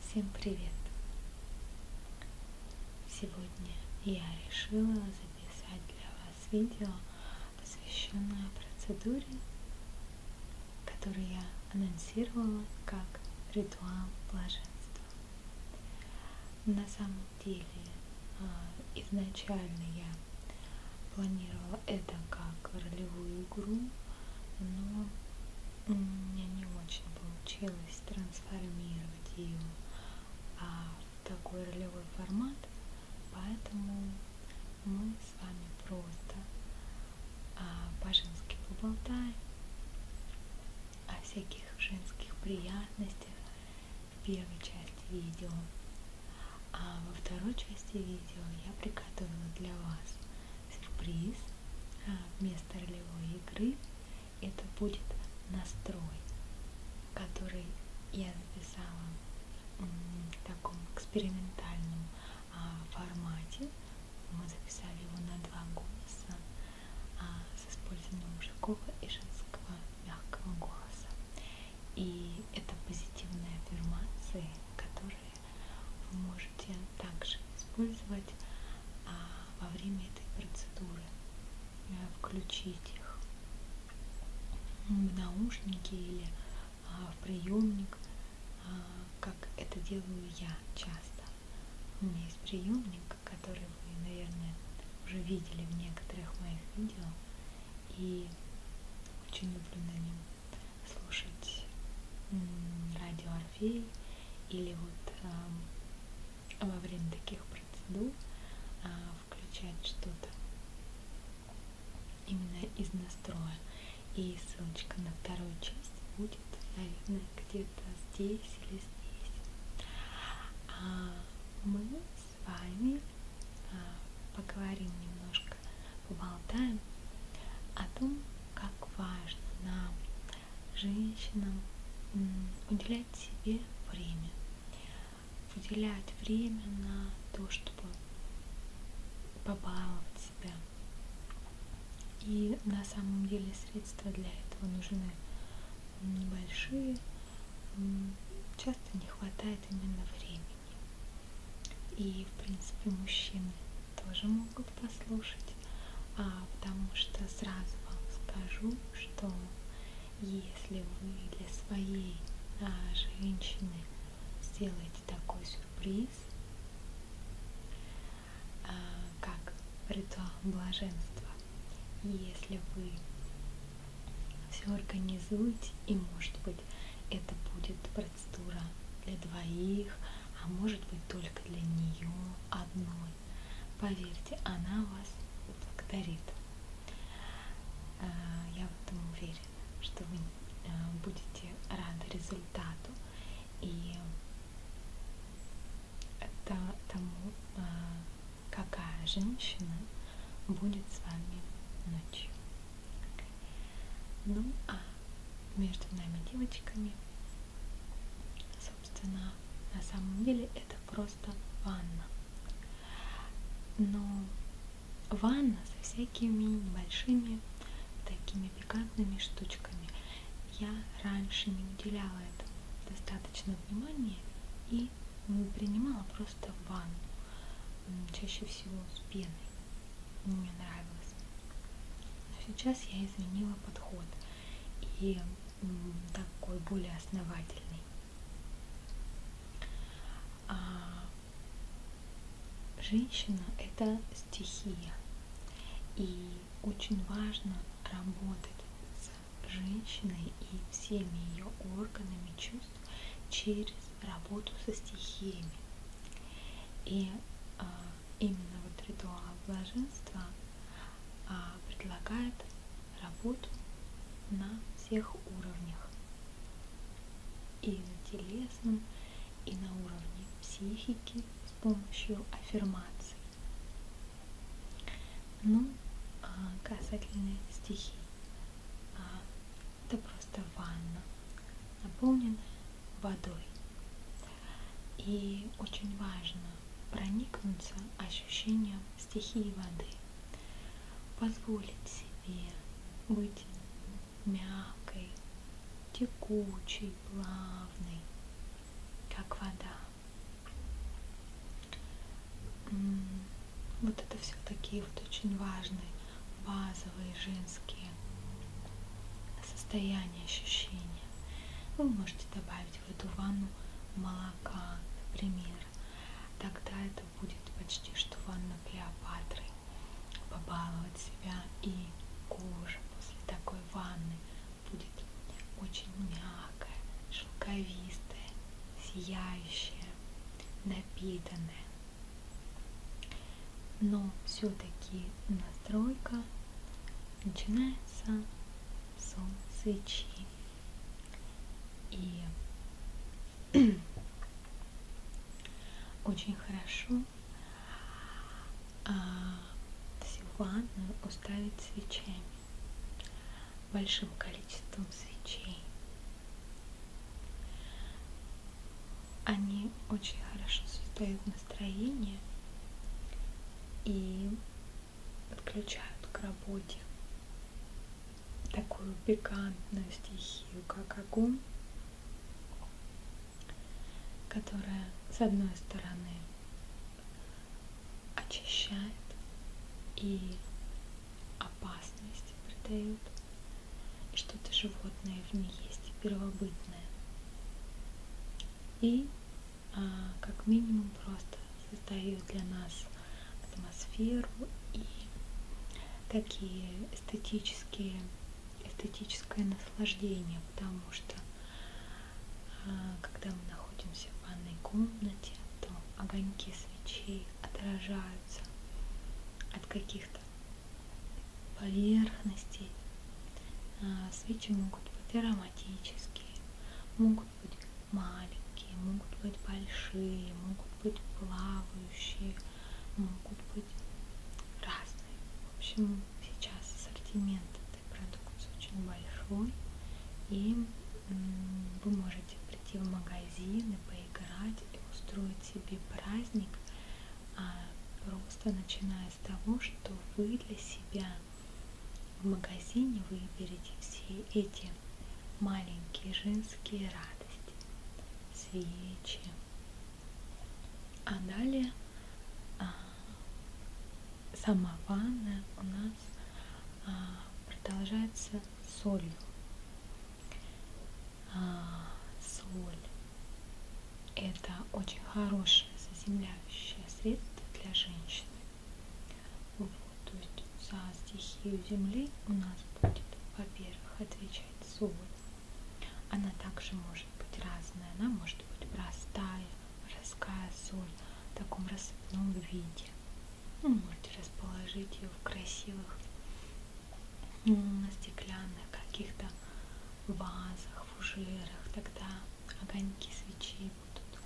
Всем привет! Сегодня я решила записать для вас видео, посвященное процедуре, которую я анонсировала как ритуал блаженства. На самом деле а, изначально я планировала это как ролевую игру, но у меня не очень получилось трансформировать ее а, в такой ролевой формат, поэтому мы с вами просто а, по-женски поболтаем о всяких женских приятностях, первой части видео. А во второй части видео я приготовила для вас сюрприз а, вместо ролевой игры. Это будет настрой, который я записала в таком экспериментальном а, формате. Мы записали его на два голоса а, с использованием мужского и женского мягкого голоса. И это позитивные аффирмации, которые вы можете также использовать а, во время этой процедуры. Э, включить их в наушники или а, в приемник, а, как это делаю я часто. У меня есть приемник, который вы, наверное, уже видели в некоторых моих видео. И очень люблю на нем слушать радио Орфей или вот э, во время таких процедур э, включать что-то именно из настроя. И ссылочка на вторую часть будет, наверное, где-то здесь или здесь. А мы с вами поговорим немножко, поболтаем о том, как важно нам, женщинам, уделять себе время. Уделять время на то, чтобы побаловать себя. И на самом деле средства для этого нужны небольшие, часто не хватает именно времени. И, в принципе, мужчины тоже могут послушать, а, потому что сразу вам скажу, что если вы для своей а, женщины сделаете такой сюрприз, а, как ритуал блаженства, если вы все организуете, и может быть это будет процедура для двоих, а может быть только для нее одной. Поверьте, она вас благодарит. А, я в этом уверена, что вы а, будете рады результату и тому, а, какая женщина будет с вами ночью. Ну а между нами девочками, собственно, на самом деле это просто ванна. Но ванна со всякими небольшими такими пикантными штучками. Я раньше не уделяла этому достаточно внимания и воды принимала просто ванну, чаще всего с пеной. Мне нравилось. Но сейчас я изменила подход и такой более основательный. А женщина – это стихия. И очень важно работать с женщиной и всеми ее органами чувств через работу со стихиями. И а, именно вот ритуал блаженства а, предлагает работу на всех уровнях. И на телесном, и на уровне психики с помощью аффирмаций. Ну, а, касательно стихий. А, это просто ванна, наполненная водой. И очень важно проникнуться ощущением стихии воды, позволить себе быть мягкой, текучей, плавной, как вода. Вот это все такие вот очень важные, базовые женские состояния, ощущения. Вы можете добавить в эту ванну молока, например. Тогда это будет почти что ванна Клеопатры. Побаловать себя и кожа после такой ванны будет очень мягкая, шелковистая, сияющее, напитанное. Но все-таки настройка начинается с свечи. И очень хорошо а, всю ванную уставить свечами большим количеством свечей. Они очень хорошо создают настроение и подключают к работе такую пикантную стихию, как огонь, которая, с одной стороны, очищает и опасность придают, что-то животное в ней есть, первобытное. И а, как минимум просто создает для нас атмосферу и такие эстетические, эстетическое наслаждение, потому что а, когда мы находимся в ванной комнате, то огоньки свечей отражаются от каких-то поверхностей. А, свечи могут быть ароматические, могут быть маленькие, могут быть большие, могут быть плавающие, могут быть разные. В общем, сейчас ассортимент этой продукции очень большой, и вы можете можете прийти в магазин и поиграть, и устроить себе праздник, а просто начиная с того, что вы для себя в магазине выберете все эти маленькие женские радости, свечи. А далее а, сама ванна у нас а, продолжается это солью. А, соль – это очень хорошее заземляющее средство для женщины. Вот, то есть за стихию земли у нас будет, во-первых, отвечать соль. Она также может быть разная. Она может быть простая, морская соль в таком рассыпном виде. Вы ну, можете расположить ее в красивых стеклянных каких-то вазах, фужерах. Тогда огоньки свечей будут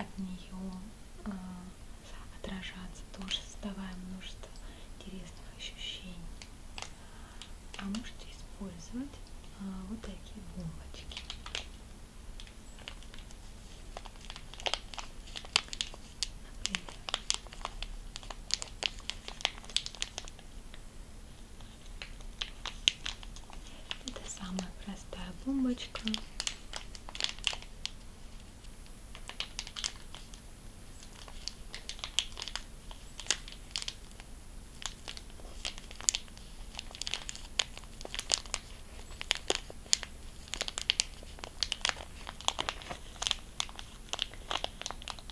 от нее э, отражаться, тоже создавая множество интересных ощущений. А можете использовать э, вот такие бомбочки. Это самая простая бомбочка.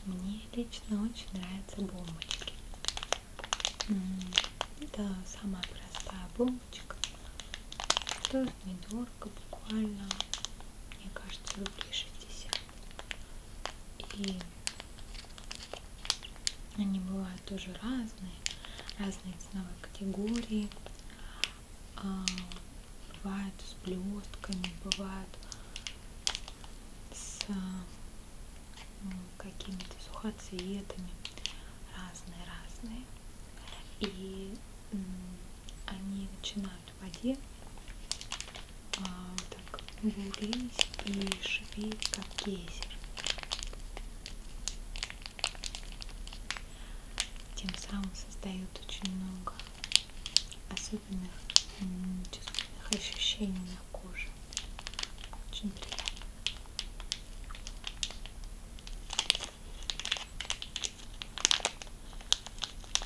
Мне лично очень нравятся бомбочки. Это самая простая бомбочка. Тоже недорого, буквально, мне кажется, рублей 60. И они бывают тоже разные, разные, разные ценовые категории. А, бывают с блестками, бывают с ну, какими-то сухоцветами. Разные-разные. И они начинают в воде а, так бурлить и шипеть, как гейзер тем самым создают очень много особенных чувственных ощущений на коже. Очень приятно.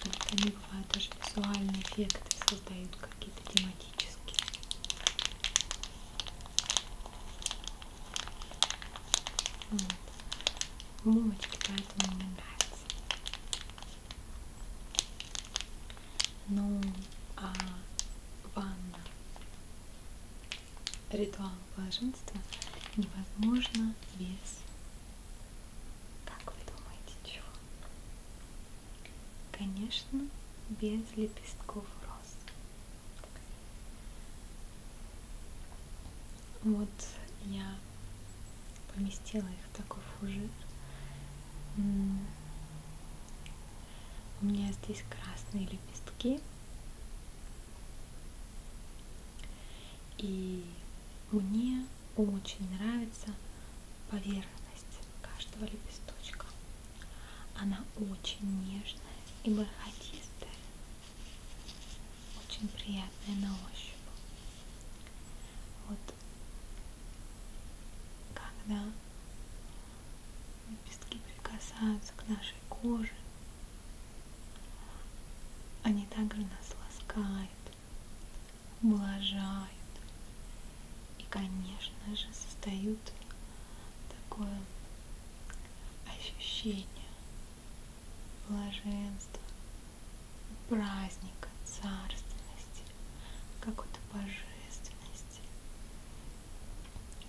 Вот они бывают даже визуальные эффекты создают какие-то тематические. Вот. Булочки поэтому мне нравятся. Ну, а ванна, ритуал блаженства невозможно без, как вы думаете, чего? Конечно, без лепестков роз. Вот я поместила их в такой фужер. У меня здесь красные лепестки. И мне очень нравится поверхность каждого лепесточка. Она очень нежная и бархатистая, очень приятная на ощупь. Вот когда лепестки прикасаются к нашей коже, они также нас ласкают, ублажают и, конечно же, создают такое ощущение блаженства, праздника, царственности, какой-то божественности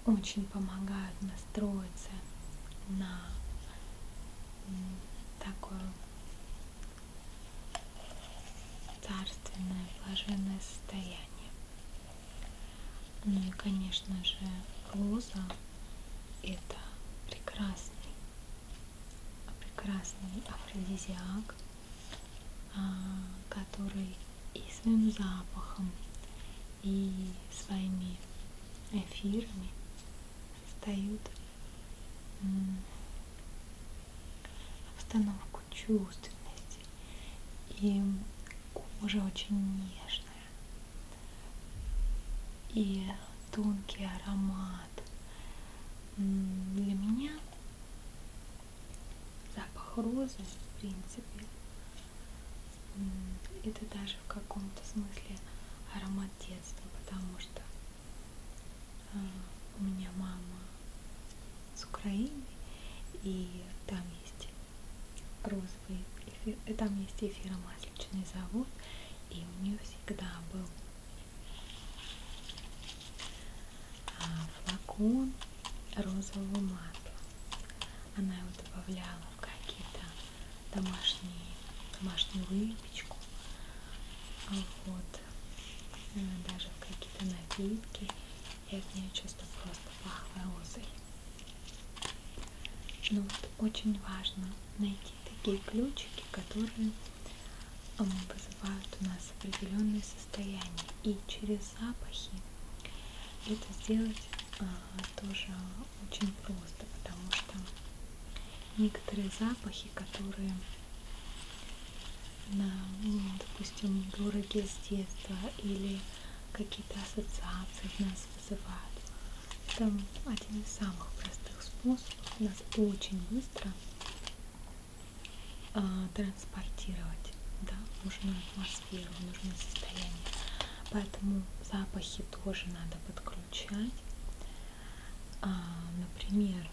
очень помогают настроиться на такое царственное блаженное состояние. Ну и, конечно же, роза это прекрасный, прекрасный афродизиак, а, который и своим запахом, и своими эфирами создают обстановку чувственности. И кожа очень нежная и тонкий аромат. Для меня запах розы, в принципе, это даже в каком-то смысле аромат детства, потому что а, у меня мама с Украины, и там есть розовый эфир, там есть эфиромасленичный завод, и у нее всегда был а, флакон розового масла. Она его добавляла в какие-то домашние, домашнюю выпечку, а вот, э, даже в какие-то напитки. Я от нее чувствую просто пахло розой. Но вот очень важно найти такие ключики, которые вызывают у нас определенные состояния. И через запахи это сделать а, тоже очень просто, потому что некоторые запахи, которые на, ну, допустим, дороги с детства или какие-то ассоциации в нас вызывают. Это один из самых простых способов нас очень быстро э, транспортировать да, в нужную атмосферу, в нужное состояние. Поэтому запахи тоже надо подключать. Э, например,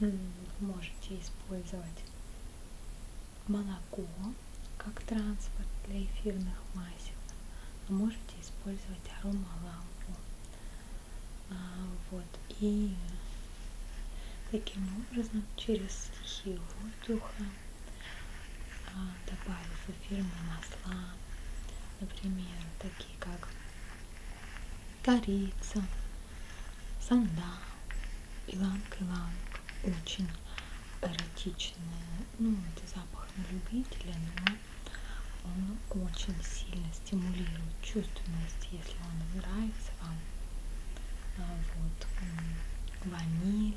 вы можете использовать молоко как транспорт для эфирных масел. Вы можете использовать аромалампу. А, вот. И таким образом через сухие воздуха, а, добавив эфирные масла, например, такие как корица, сандал, иланг-иланг, очень эротичная. Ну, это запах на любителя, но он очень сильно стимулирует чувственность, если он нравится вам. А, вот ваниль,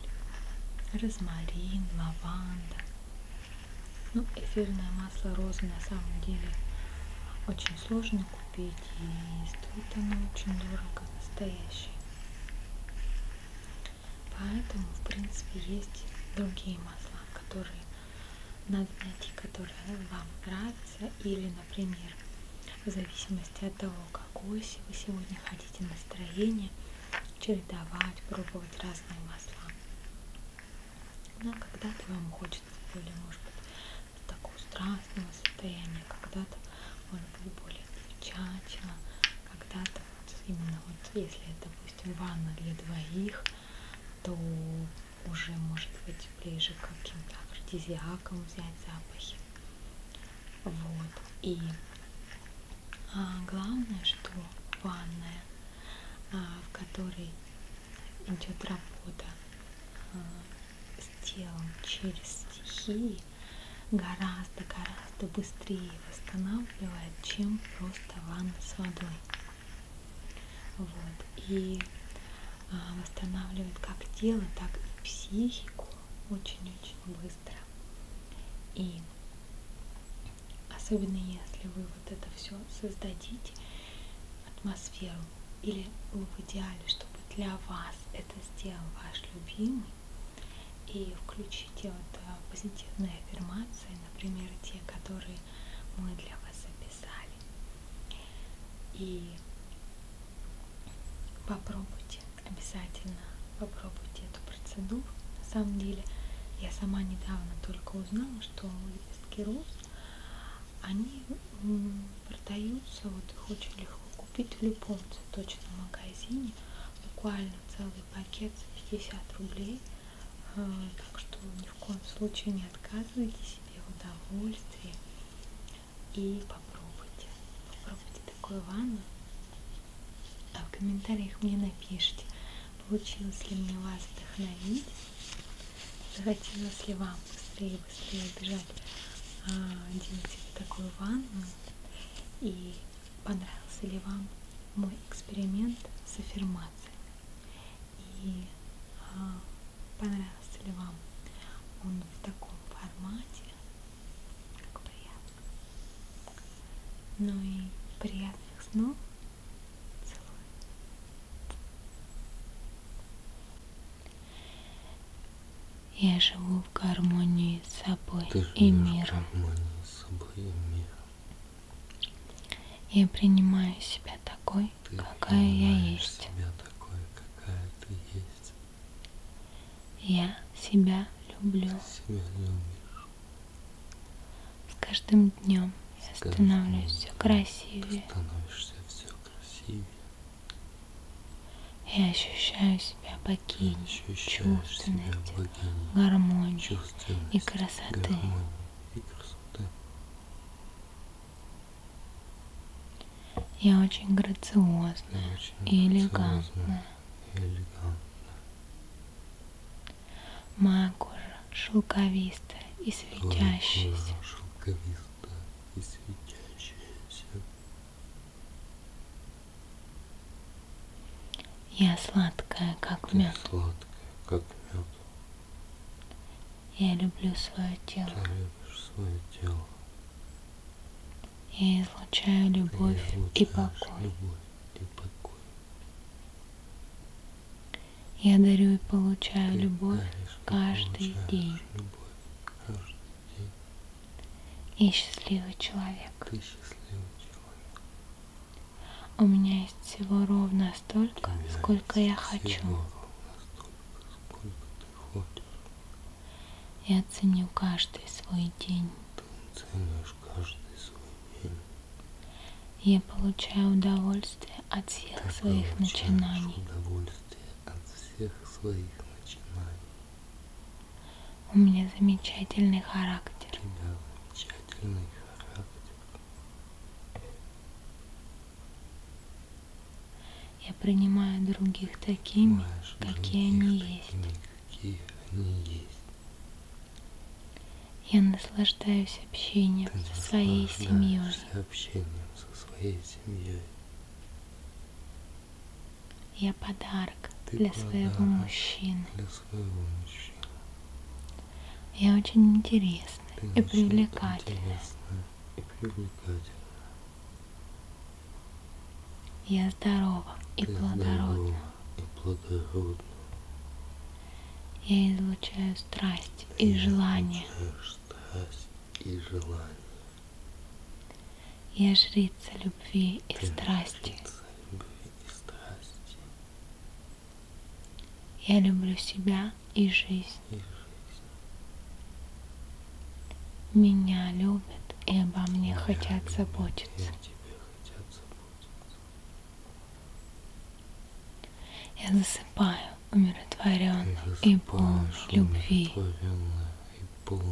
розмарин, лаванда. Ну, эфирное масло розы на самом деле очень сложно купить и стоит оно очень дорого, настоящее. Поэтому, в принципе, есть другие масла, которые надо найти, которые вам нравятся. Или, например, в зависимости от того, какое вы сегодня хотите настроение, чередовать, пробовать разные масла. Но ну, а когда-то вам хочется более, может быть, такого страстного состояния, когда-то, может быть, более девчачьего, когда-то вот именно вот если, допустим, ванна для двоих, то уже может быть ближе к каким-то афродизиакам взять запахи. Вот. И а, главное, что ванная, а, в которой идет работа а, с телом через стихии, гораздо-гораздо быстрее восстанавливает, чем просто ванна с водой. Вот. И а, восстанавливает как тело, так и психику очень-очень быстро. И особенно если вы вот это все создадите, атмосферу, или ну, в идеале, чтобы для вас это сделал ваш любимый, и включите вот э, позитивные аффирмации, например, те, которые мы для вас записали. И попробуйте, обязательно попробуйте эту процедуру. На самом деле, я сама недавно только узнала, что лепестки роз, они продаются, вот их очень легко купить в любом цветочном магазине буквально целый пакет за 50 рублей. А, так что ни в коем случае не отказывайте себе в удовольствии и попробуйте. Попробуйте такую ванну. А в комментариях мне напишите, получилось ли мне вас вдохновить, захотелось ли вам быстрее, быстрее бежать, а, делать такую ванну и понравился ли вам мой эксперимент с аффирмациями и а, понравился ли вам он в таком формате, как приятно. Ну и приятных снов. Целую. Я живу в гармонии с собой Ты и миром. В гармонии с собой и миром. Я принимаю себя такой, Ты какая я есть. Себя такой, какая ты есть. Я себя люблю. Ты себя любишь. С каждым днем я становлюсь все красивее. Ты становишься все красивее. Я ощущаю себя богиней ощущаю чувственности, себя богиней, гармонии чувственности, и красоты. Гармонии и красоты. Я очень грациозна, Я очень и, элегантна. и элегантна. Моя кожа шелковистая и светящаяся. Шелковистая и светящаяся. Я сладкая, как Ты мед. Сладкая, как мед. Я люблю свое тело. Ты любишь свое тело. Я излучаю любовь Ты и покой. Любовь и покой. Я дарю и получаю Ты любовь, каждый, и получаешь день. любовь каждый день. И счастливый человек. Ты счастливый человек. У меня есть всего ровно столько, Тебя сколько я хочу. Столько, сколько я ценю каждый свой день. Ты ценишь каждый свой день. Я получаю удовольствие от всех Ты своих начинаний. удовольствие от всех своих начинаний. У меня замечательный характер. У тебя замечательный характер. Я принимаю других такими, Понимаешь, какие других они такими, есть. Какие они есть. Я наслаждаюсь общением Ты со своей семьей. Общением со своей семьей. Я подарок Ты для подарок своего мужчины. Для своего мужчины. Я очень интересна Ты и привлекательна. И привлекательна. Я здорова и Ты плодородна. и плодородна. Я излучаю страсть и, и желание. Страсть и желание. Я жрица любви и Ты страсти. любви и страсти. Я люблю себя и жизнь. и жизнь. Меня любят и обо мне Меня хотят любят, заботиться. хотят заботиться. Я засыпаю умиротворенно и полной любви. И полной любви.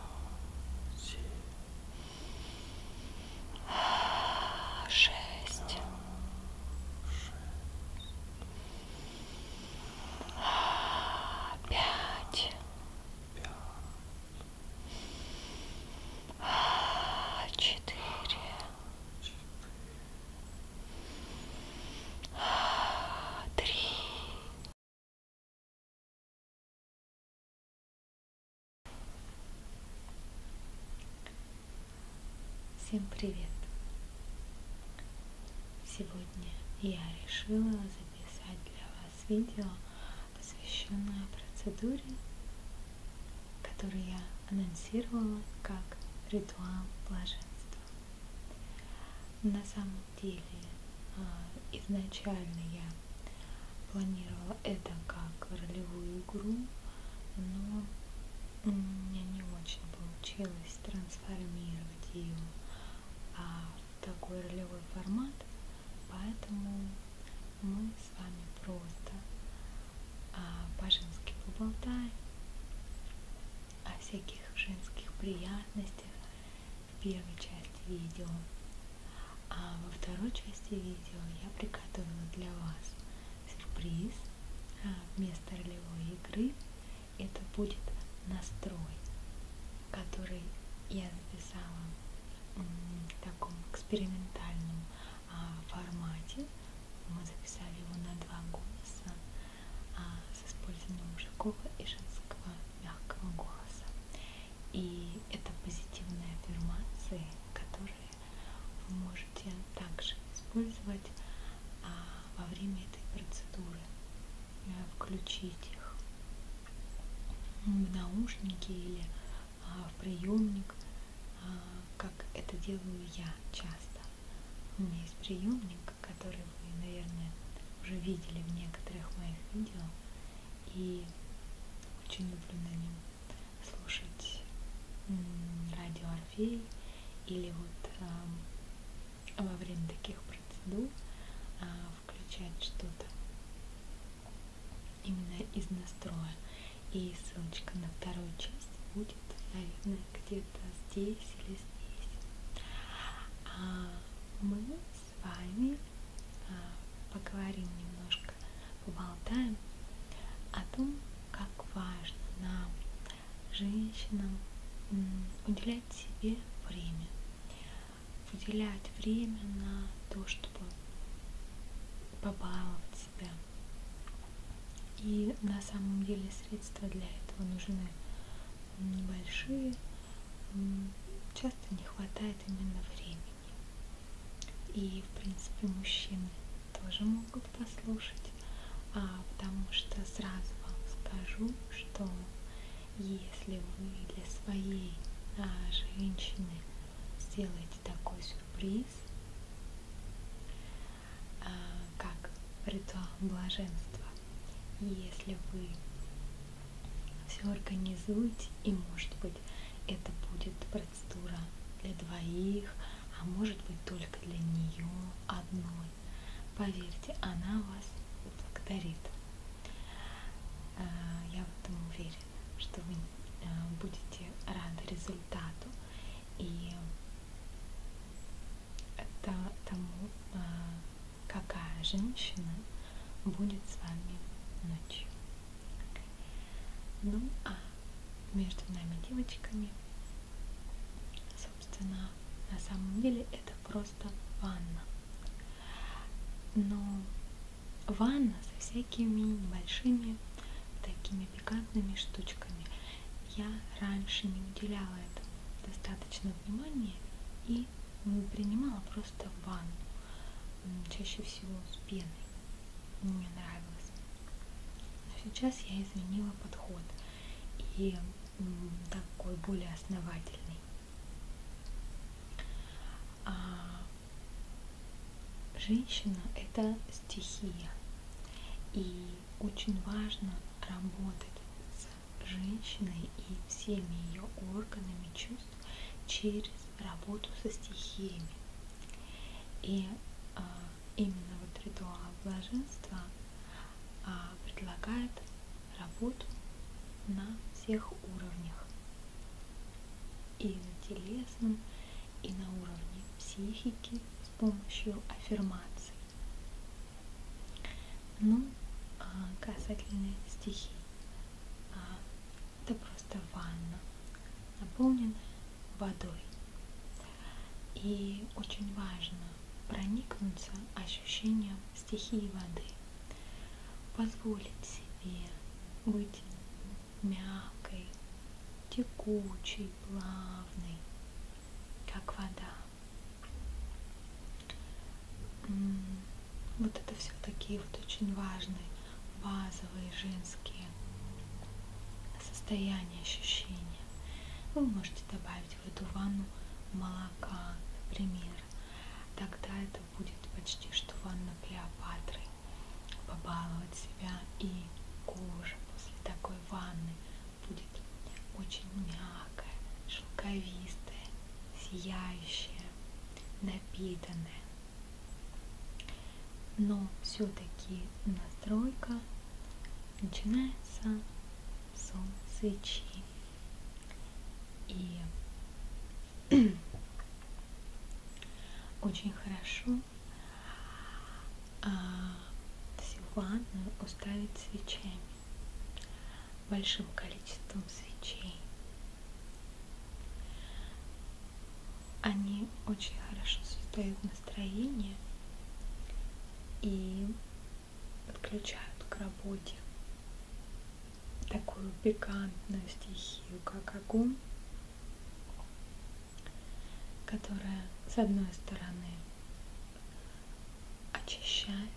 шесть, пять, четыре, три. Всем привет! Сегодня я решила записать для вас видео, посвященное процедуре, которую я анонсировала как ритуал блаженства. На самом деле а, изначально я планировала это как ролевую игру, но у меня не очень получилось трансформировать ее а, в такой ролевой формат, поэтому мы с вами просто а, по-женски поболтаем о всяких женских приятностях, в первой части видео. А во второй части видео я приготовила для вас сюрприз а, вместо ролевой игры. Это будет настрой, который я записала в таком экспериментальном а, формате. Мы записали его на два голоса. А, с использованием мужского и женского мягкого голоса. И это позитивные аффирмации, которые вы можете также использовать а, во время этой процедуры. Э, включить их в наушники или а, в приемник, а, как это делаю я часто. У меня есть приемник, который которые вы, наверное, уже видели в некоторых моих видео. И очень люблю на нем слушать радио Орфей или вот а, во время таких процедур а, включать что-то именно из настроя. И ссылочка на вторую часть будет, наверное, где-то здесь или здесь. А мы с вами а, поговорим немножко, поболтаем о том, как важно нам, женщинам, уделять себе время. Уделять время на то, чтобы побаловать себя. И на самом деле средства для этого нужны небольшие, часто не хватает именно времени. И, в принципе, мужчины тоже могут послушать, а, потому что сразу вам скажу, что если вы для своей а, женщины сделаете такой сюрприз, а, как ритуал блаженства, если вы все организуете, и может быть это будет процедура для двоих, а может быть только для нее одной. Поверьте, она вас благодарит. А, я в этом уверена, что вы а, будете рады результату и тому, а, какая женщина будет с вами ночью. Ну а между нами девочками, собственно, на самом деле это просто ванна. Но ванна со всякими небольшими такими пикантными штучками. Я раньше не уделяла этому достаточно внимания и воды принимала просто в ванну, чаще всего с пеной. Мне нравилось. Но сейчас я изменила подход и такой более основательный. А женщина – это стихия. И очень важно работать с женщиной и всеми ее органами чувств через работу со стихиями. И э, именно вот ритуал блаженства э, предлагает работу на всех уровнях. И на телесном, и на уровне психики с помощью аффирмаций. Ну, а касательно стихий, а, это просто ванна, наполненная водой. И очень важно проникнуться ощущением стихии воды, позволить себе быть мягкой, текучей, плавной, как вода. Вот это все такие вот очень важные, базовые женские состояния, ощущения. Вы можете добавить в эту ванну молока, например. Тогда это будет почти что ванна Клеопатры. Побаловать себя и кожа после такой ванны будет очень мягкая, шелковистая, сияющее, напитанное. Но все-таки настройка начинается с свечи. И очень хорошо а, всю ванную уставить свечами большим количеством свечей. Они очень хорошо создают настроение и подключают к работе такую пикантную стихию, как огонь, которая, с одной стороны, очищает,